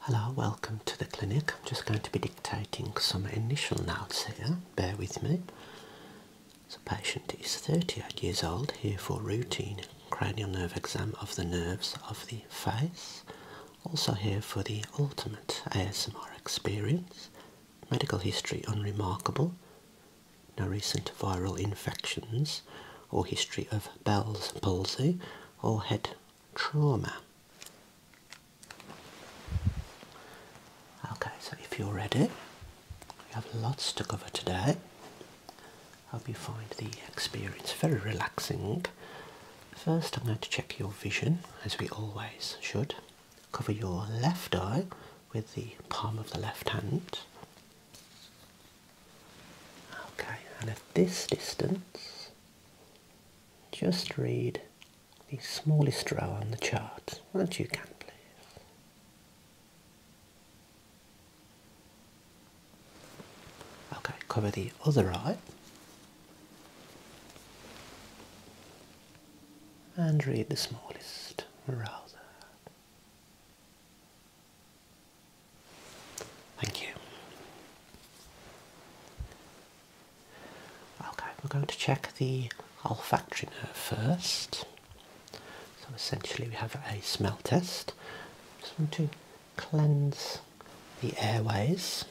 Hello, welcome to the clinic. I'm just going to be dictating some initial notes here. Bear with me. The patient is 38 years old, here for routine cranial nerve exam of the nerves of the face. Also here for the ultimate ASMR experience. Medical history unremarkable. No recent viral infections or history of Bell's palsy or head trauma. Okay, so if you're ready, we have lots to cover today. I Hope you find the experience very relaxing. First, I'm going to check your vision, as we always should. Cover your left eye with the palm of the left hand. Okay, and at this distance, just read the smallest row on the chart, once you can please. Okay, cover the other eye and read the smallest row there. Thank you. Okay, we're going to check the olfactory nerve first. So essentially we have a smell test. Just want to cleanse the airways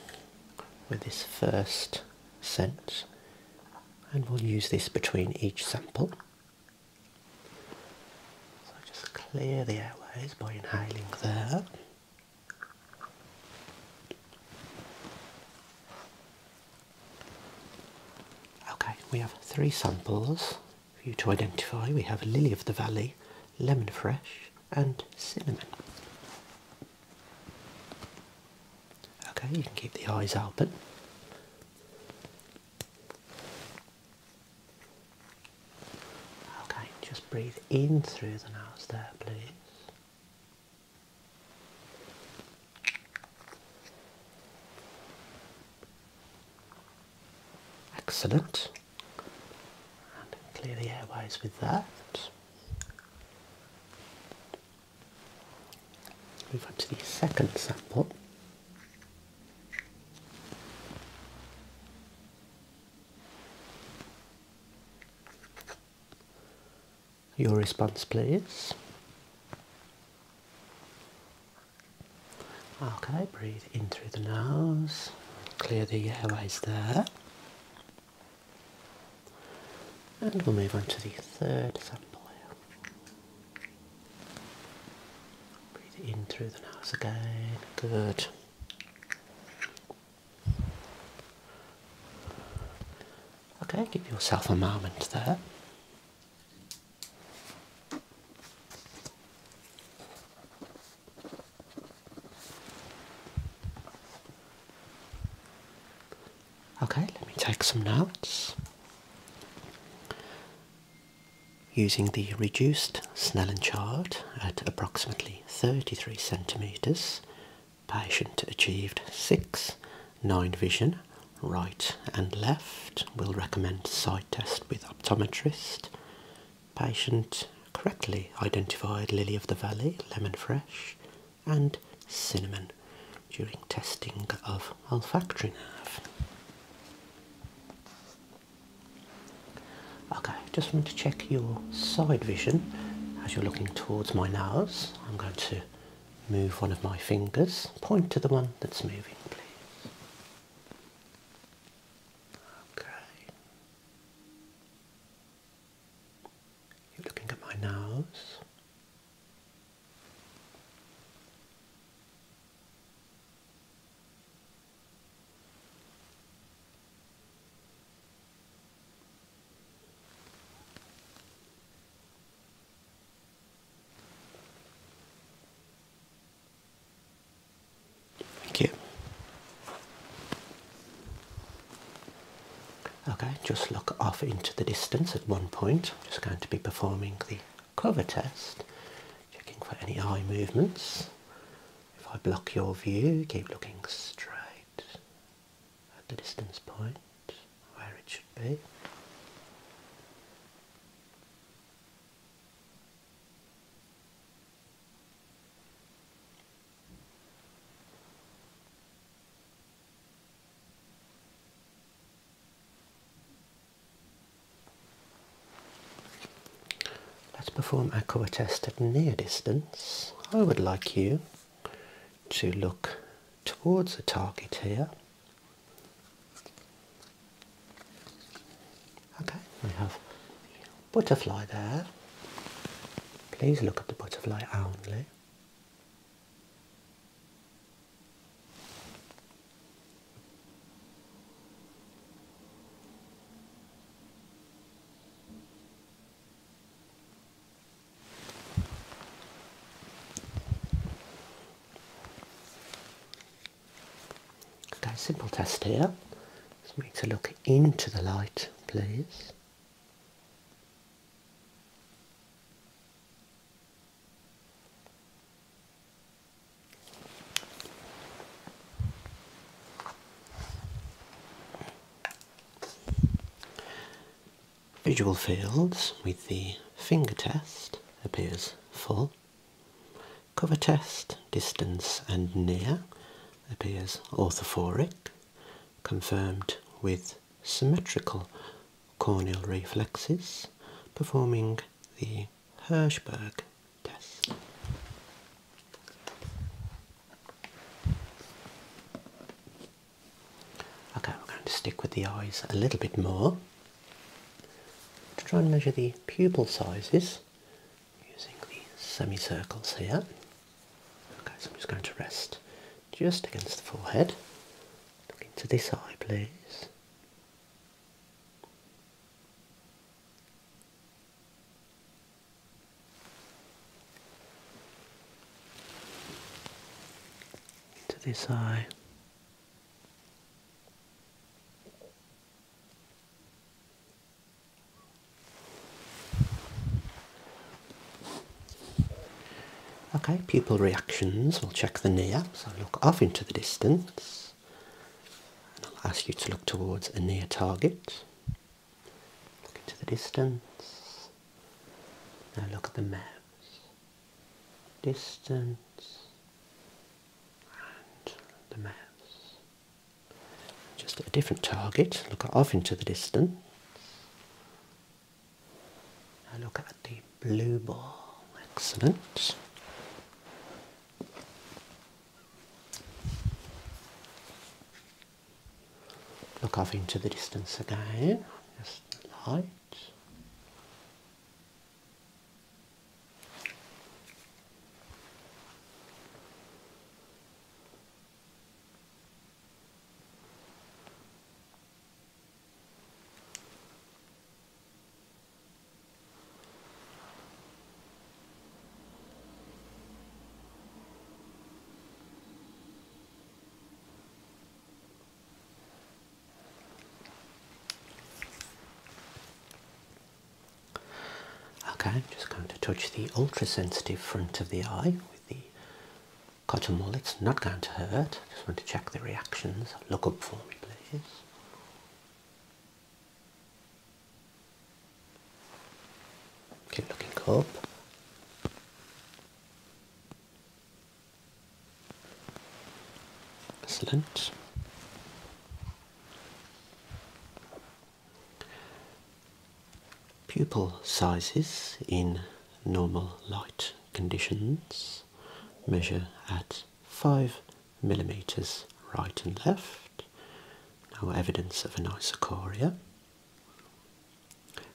with this first scent and we'll use this between each sample. So just clear the airways by inhaling there. Okay, we have three samples for you to identify. We have Lily of the Valley, Lemon Fresh and Cinnamon. Okay, you can keep the eyes open. Okay, just breathe in through the nose there, please. Excellent. And clear the airways with that. Move on to the second sample. Your response, please. Okay, breathe in through the nose, clear the airways there. And we'll move on to the third sample Breathe in through the nose again. Good. Okay, give yourself a moment there. Okay, let me take some notes. Using the reduced Snellen chart at approximately 33 centimetres, patient achieved 6, 9 vision, right and left. We'll recommend side test with optometrist. Patient correctly identified lily of the valley, lemon fresh, and cinnamon during testing of olfactory nerve. Okay, just want to check your side vision as you're looking towards my nose. I'm going to move one of my fingers. Point to the one that's moving, please. Okay. You're looking at my nose. Thank you. Okay, just look off into the distance at one point. just going to be performing the cover test, checking for any eye movements. If I block your view, keep looking straight at the distance point where it should be. Let's perform a colour test at near distance. I would like you to look towards the target here. Okay, we have butterfly there. Please look at the butterfly only. Okay, simple test here. Just need to look into the light, please. Visual fields with the finger test appears full. Cover test, distance and near appears orthophoric, confirmed with symmetrical corneal reflexes performing the the Hirschberg test. Okay, we're going to stick with the eyes a little bit more to try and measure the pupil sizes using the semicircles here. Okay, so I'm just going to rest just against the forehead. Look into this eye, please to this eye. Okay, pupil reactions. We'll check the near. So look off into the distance. I'll ask you to look towards a near target. Look into the distance. Now look at the mouse. Distance and the mouse. Just a different target, look off into the distance. Now look at the blue ball. Excellent. Look off into the distance again. Just the light. Okay, just going to touch the ultra sensitive front of the eye with the cotton wool. It's not going to hurt. I just want to check the reactions. Look up for me, please. Keep looking up. Excellent. Pupil sizes in normal light conditions measure at 5 millimeters right and left. No evidence of an isochoria.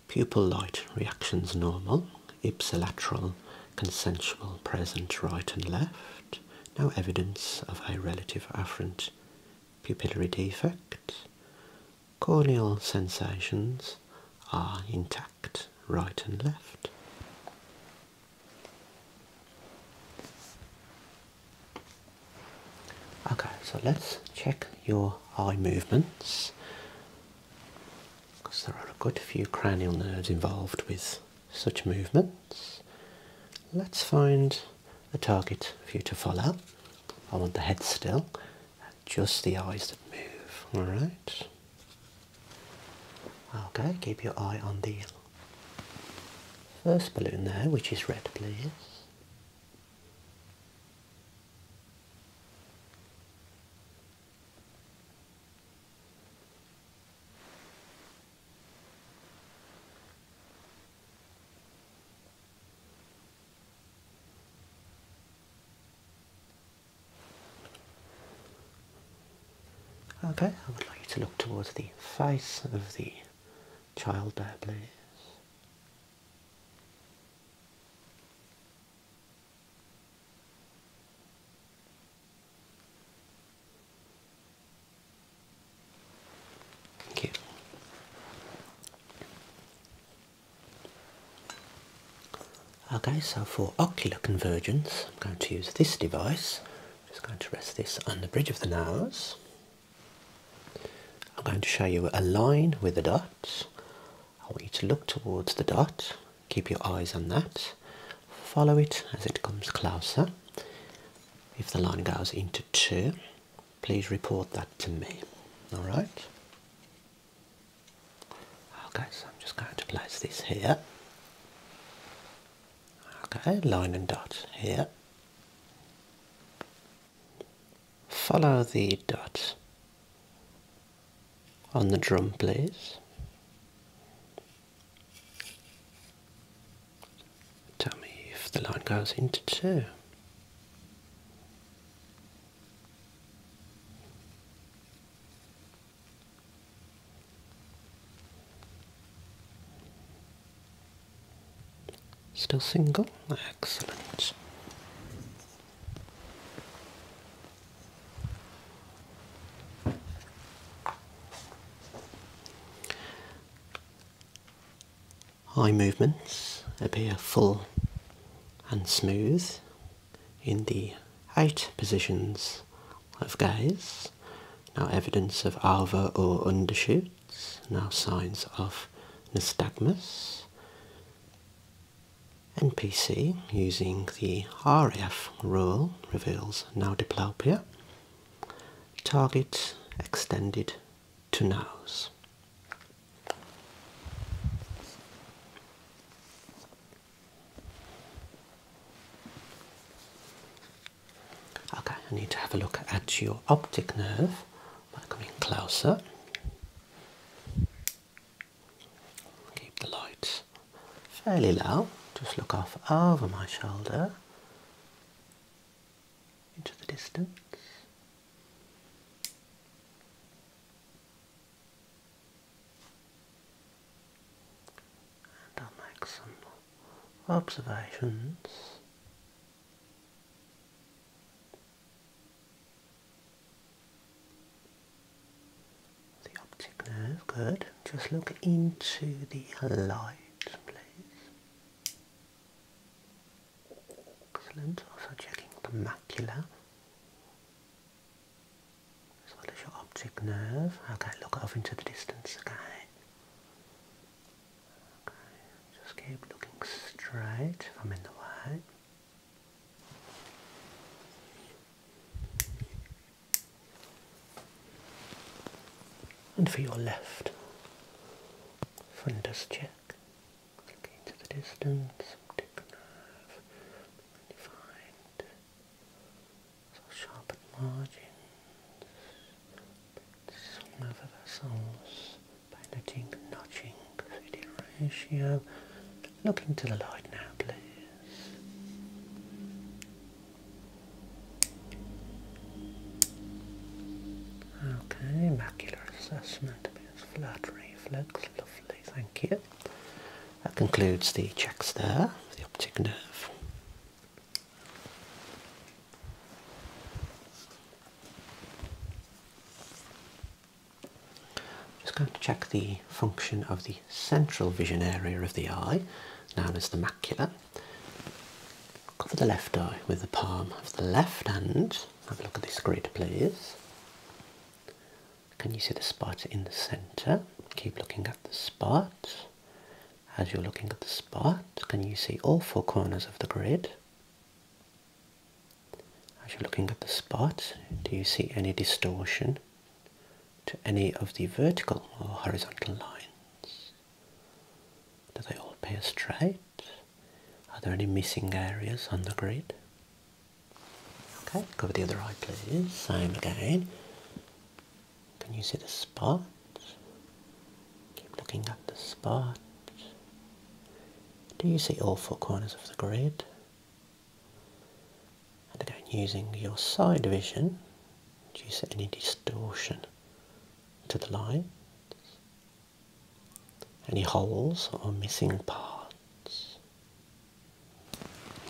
Pupil light reactions normal. Ipsilateral consensual present right and left. No evidence of a relative afferent pupillary defect. Corneal sensations are intact right and left. Okay, so let's check your eye movements because there are a good few cranial nerves involved with such movements. Let's find a target for you to follow. I want the head still, just the eyes that move, alright? Okay, keep your eye on the first balloon there, which is red, please. Okay, I would like you to look towards the face of the child bear. please. Thank you. Okay, so for ocular convergence, I'm going to use this device. I'm just going to rest this on the bridge of the nose. I'm going to show you a line with a dot. I want you to look towards the dot, keep your eyes on that, follow it as it comes closer. If the line goes into two, please report that to me. Alright? Okay, so I'm just going to place this here. Okay, line and dot here. Follow the dot on the drum, please. Tell me if the line goes into two. Still single? Excellent. Eye movements appear full and smooth in the out positions of gaze. Now evidence of alva or undershoots. Now signs of nystagmus. NPC using the RF rule reveals now diplopia. Target extended to nose. Okay, I need to have a look at your optic nerve by coming closer. Keep the lights fairly low, just look off over my shoulder into the distance. And observations. The optic nerve, good. Just look into the light, please. Excellent. Also checking the macula. As well as your optic nerve. Okay, look off into the distance, again. just keep looking straight I'm in the way. And for your left, fundus check. Looking into the distance, optic nerve, defined. So sharpened margins, smaller vessels, piloting the notching, fitting ratio. Look into the light now, please. Okay, macular assessment, a bit of flat reflex, lovely, thank you. That concludes the checks there the optic nerve. Just going to check the function of the central vision area of the eye, known as the macula. Cover the left eye with the palm of the left hand. Have a look at this grid, please. Can you see the spot in the center? Keep looking at the spot. As you're looking at the spot, can you see all four corners of the grid? As you're looking at the spot, do you see any distortion to any of the vertical or horizontal lines? Do they all appear straight? Are there any missing areas on the grid? Okay, cover the other eye please. Same again. Can you see the spot? Keep looking at the spot. Do you see all four corners of the grid? And again, using your side vision, do you see any distortion to the lines? Any holes or missing parts?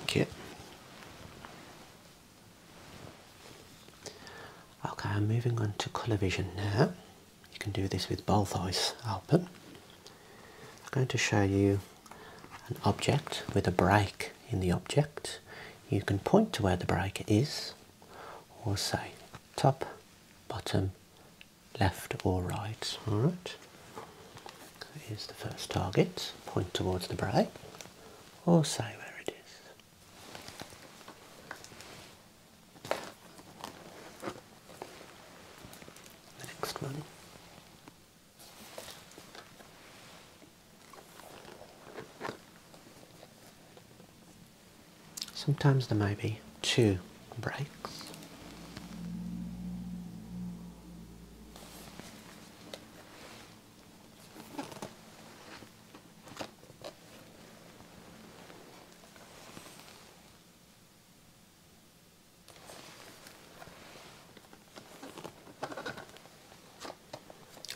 Kit. Okay, I'm moving on to colour vision now. You can do this with both eyes open. I'm going to show you an object with a break in the object. You can point to where the break is or say top, bottom, left or right. All right. Here's the first target. Point towards the brow, or say where it is. next one. Sometimes there may be two breaks.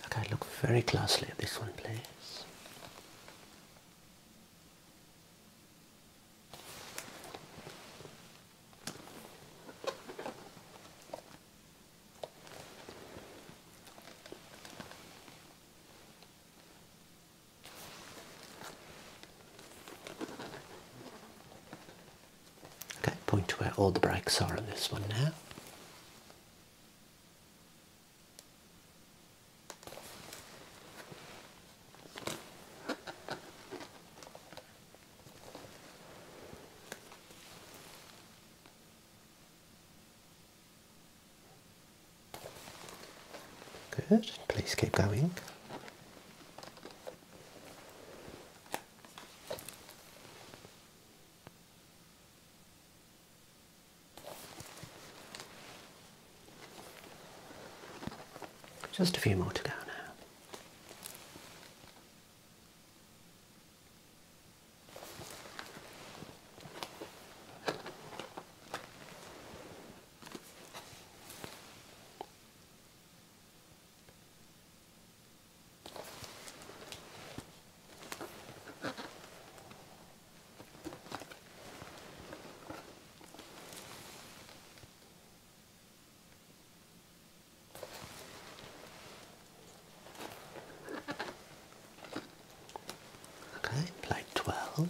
Okay, look very closely at this one, please. Okay, point to where all the breaks are on this one now. Good, please keep going. Just a few more to go now. Okay, play twelve.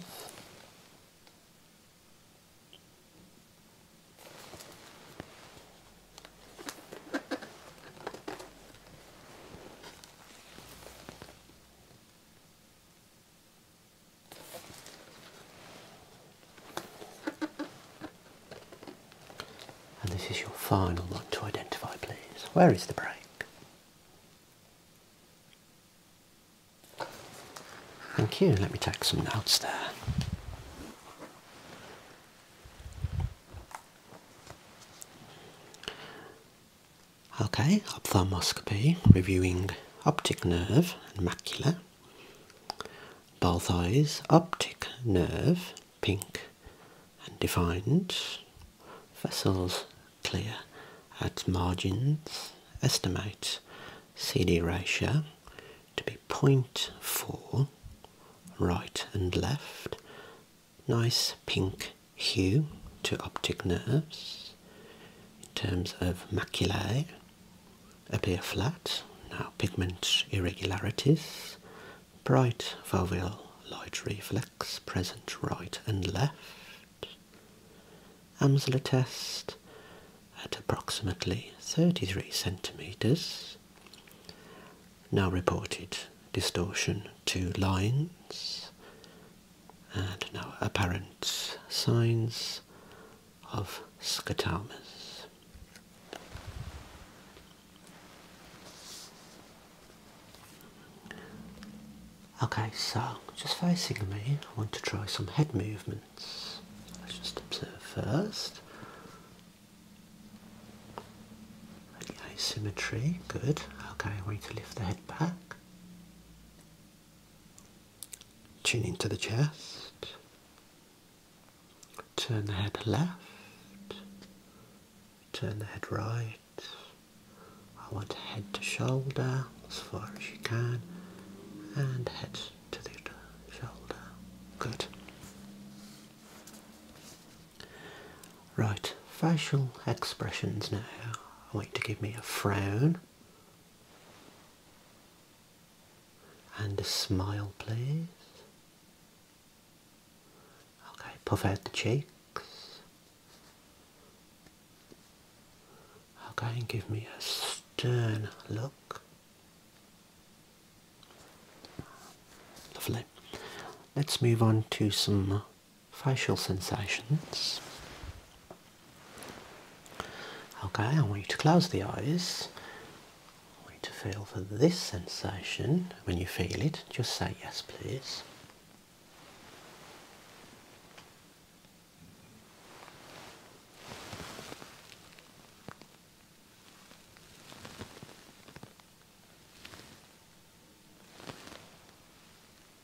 And this is your final one to identify, please. Where is the break? Thank you. Let me take some notes there. Okay, ophthalmoscopy, reviewing optic nerve and macula. Both eyes, optic nerve, pink and defined. Vessels clear at margins. Estimate CD ratio to be 0.4, right and left. Nice pink hue to optic nerves in terms of maculae appear flat, now pigment irregularities, bright foveal light reflex present right and left. Amsler test at approximately 33 centimetres. Now reported distortion to lines and no apparent signs of scotomas. Okay, so just facing me, I want to try some head movements. Let's just observe first. Any asymmetry, good. Okay, I want to lift the head back. Tune into the chest. Turn the head left. Turn the head right. I want head to shoulder as far as you can. And head to the shoulder. Good. Right, facial expressions now. I want to give me a frown and a smile, please. Okay, puff out the cheeks. Okay, and give me a stern look. Lovely. Let's move on to some facial sensations. Okay, I want you to close the eyes. I want you to feel for this sensation. When you feel it, just say yes, please.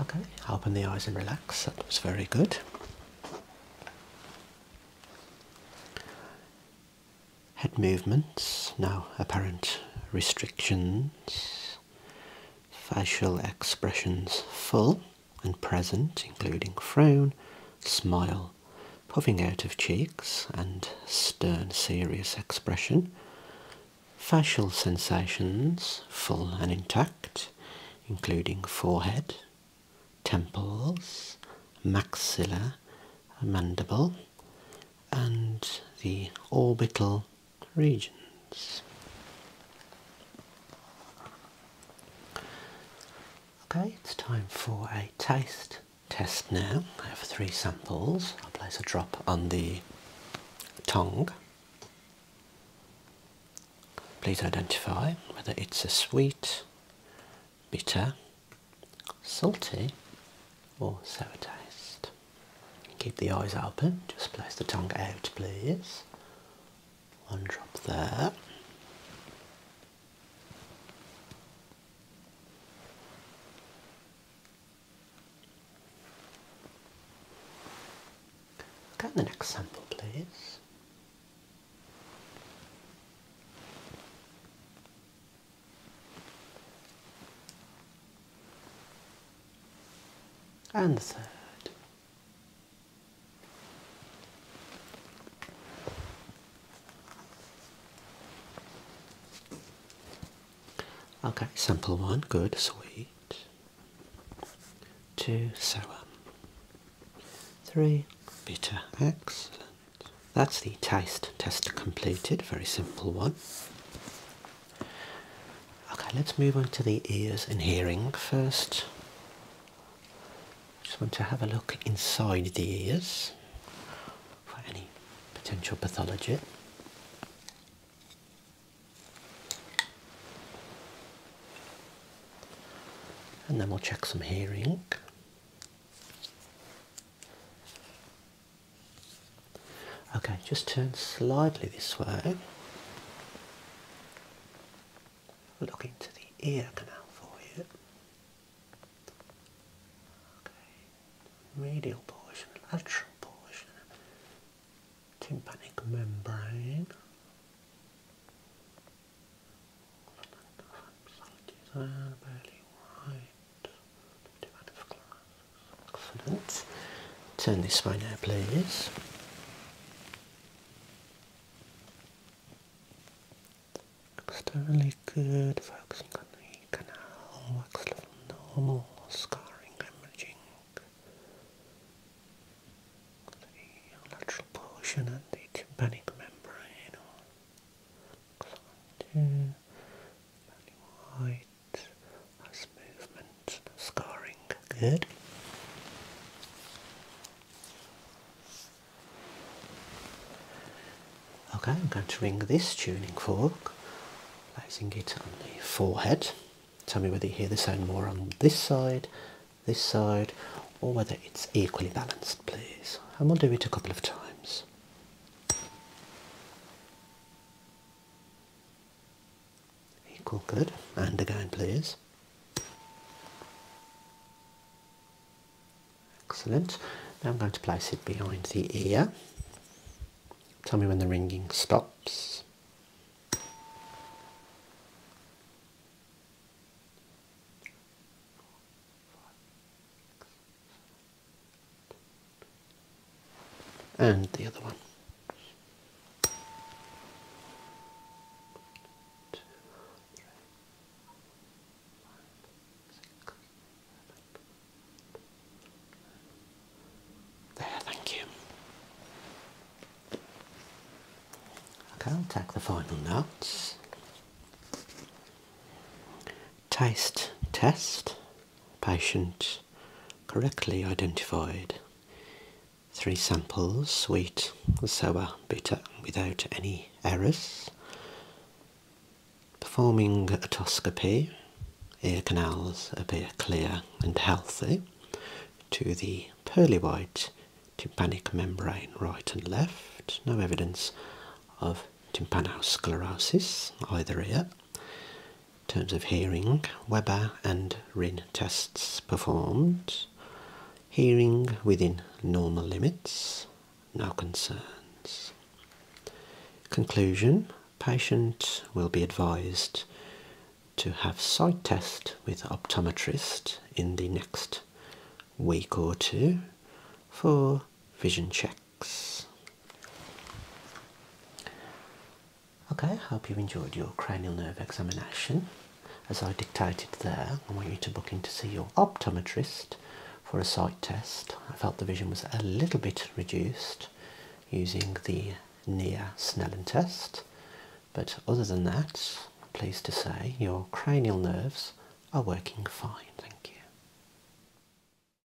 Okay, open the eyes and relax. That was very good. Head movements, now apparent restrictions. Facial expressions full and present, including frown, smile, puffing out of cheeks, and stern, serious expression. Facial sensations full and intact, including forehead, temples, maxilla, mandible, and the orbital regions. Okay, it's time for a taste test now. I have three samples. I'll place a drop on the tongue. Please identify whether it's a sweet, bitter, salty, or sour taste. Keep the eyes open, just place the tongue out, please. One drop there. Go the next sample, please and the third. Okay, simple one, good, sweet. Two, sour. Three, bitter, excellent. That's the taste test completed, very simple one. Okay, let's move on to the ears and hearing first. Just want to have a look inside the ears for any potential pathology. And then we'll check some hearing. Okay, just turn slightly this way. Look into the ear canal for you. Okay, medial portion, lateral portion, tympanic membrane. Turn this way now, please. Externally good, focusing on the canal, wax level normal, scarring, hemorrhaging. The lateral portion and the tympanic membrane. Excellent. Body that's movement, scarring. Good. Okay, I'm going to ring this tuning fork, placing it on the forehead. Tell me whether you hear the sound more on this side, this side, or whether it's equally balanced, please. And we'll do it a couple of times. Equal good. And again, please. Excellent. Now I'm going to place it behind the ear. Tell me when the ringing stops and the other one. there, thank you. Okay, I'll take the final notes. Taste test, patient correctly identified. Three samples, sweet, sour, bitter, without any errors. Performing otoscopy, ear canals appear clear and healthy to the pearly white tympanic membrane right and left. No evidence of tympanosclerosis either ear terms of hearing, Weber and Rin tests performed. Hearing within normal limits, no concerns. Conclusion Patient will be advised to have sight test with optometrist in the next week or two for vision check. Okay, I hope you enjoyed your cranial nerve examination. As I dictated there, I want you to book in to see your optometrist for a sight test. I felt the vision was a little bit reduced using the near Snellen test, but other than that, i pleased to say your cranial nerves are working fine. Thank you.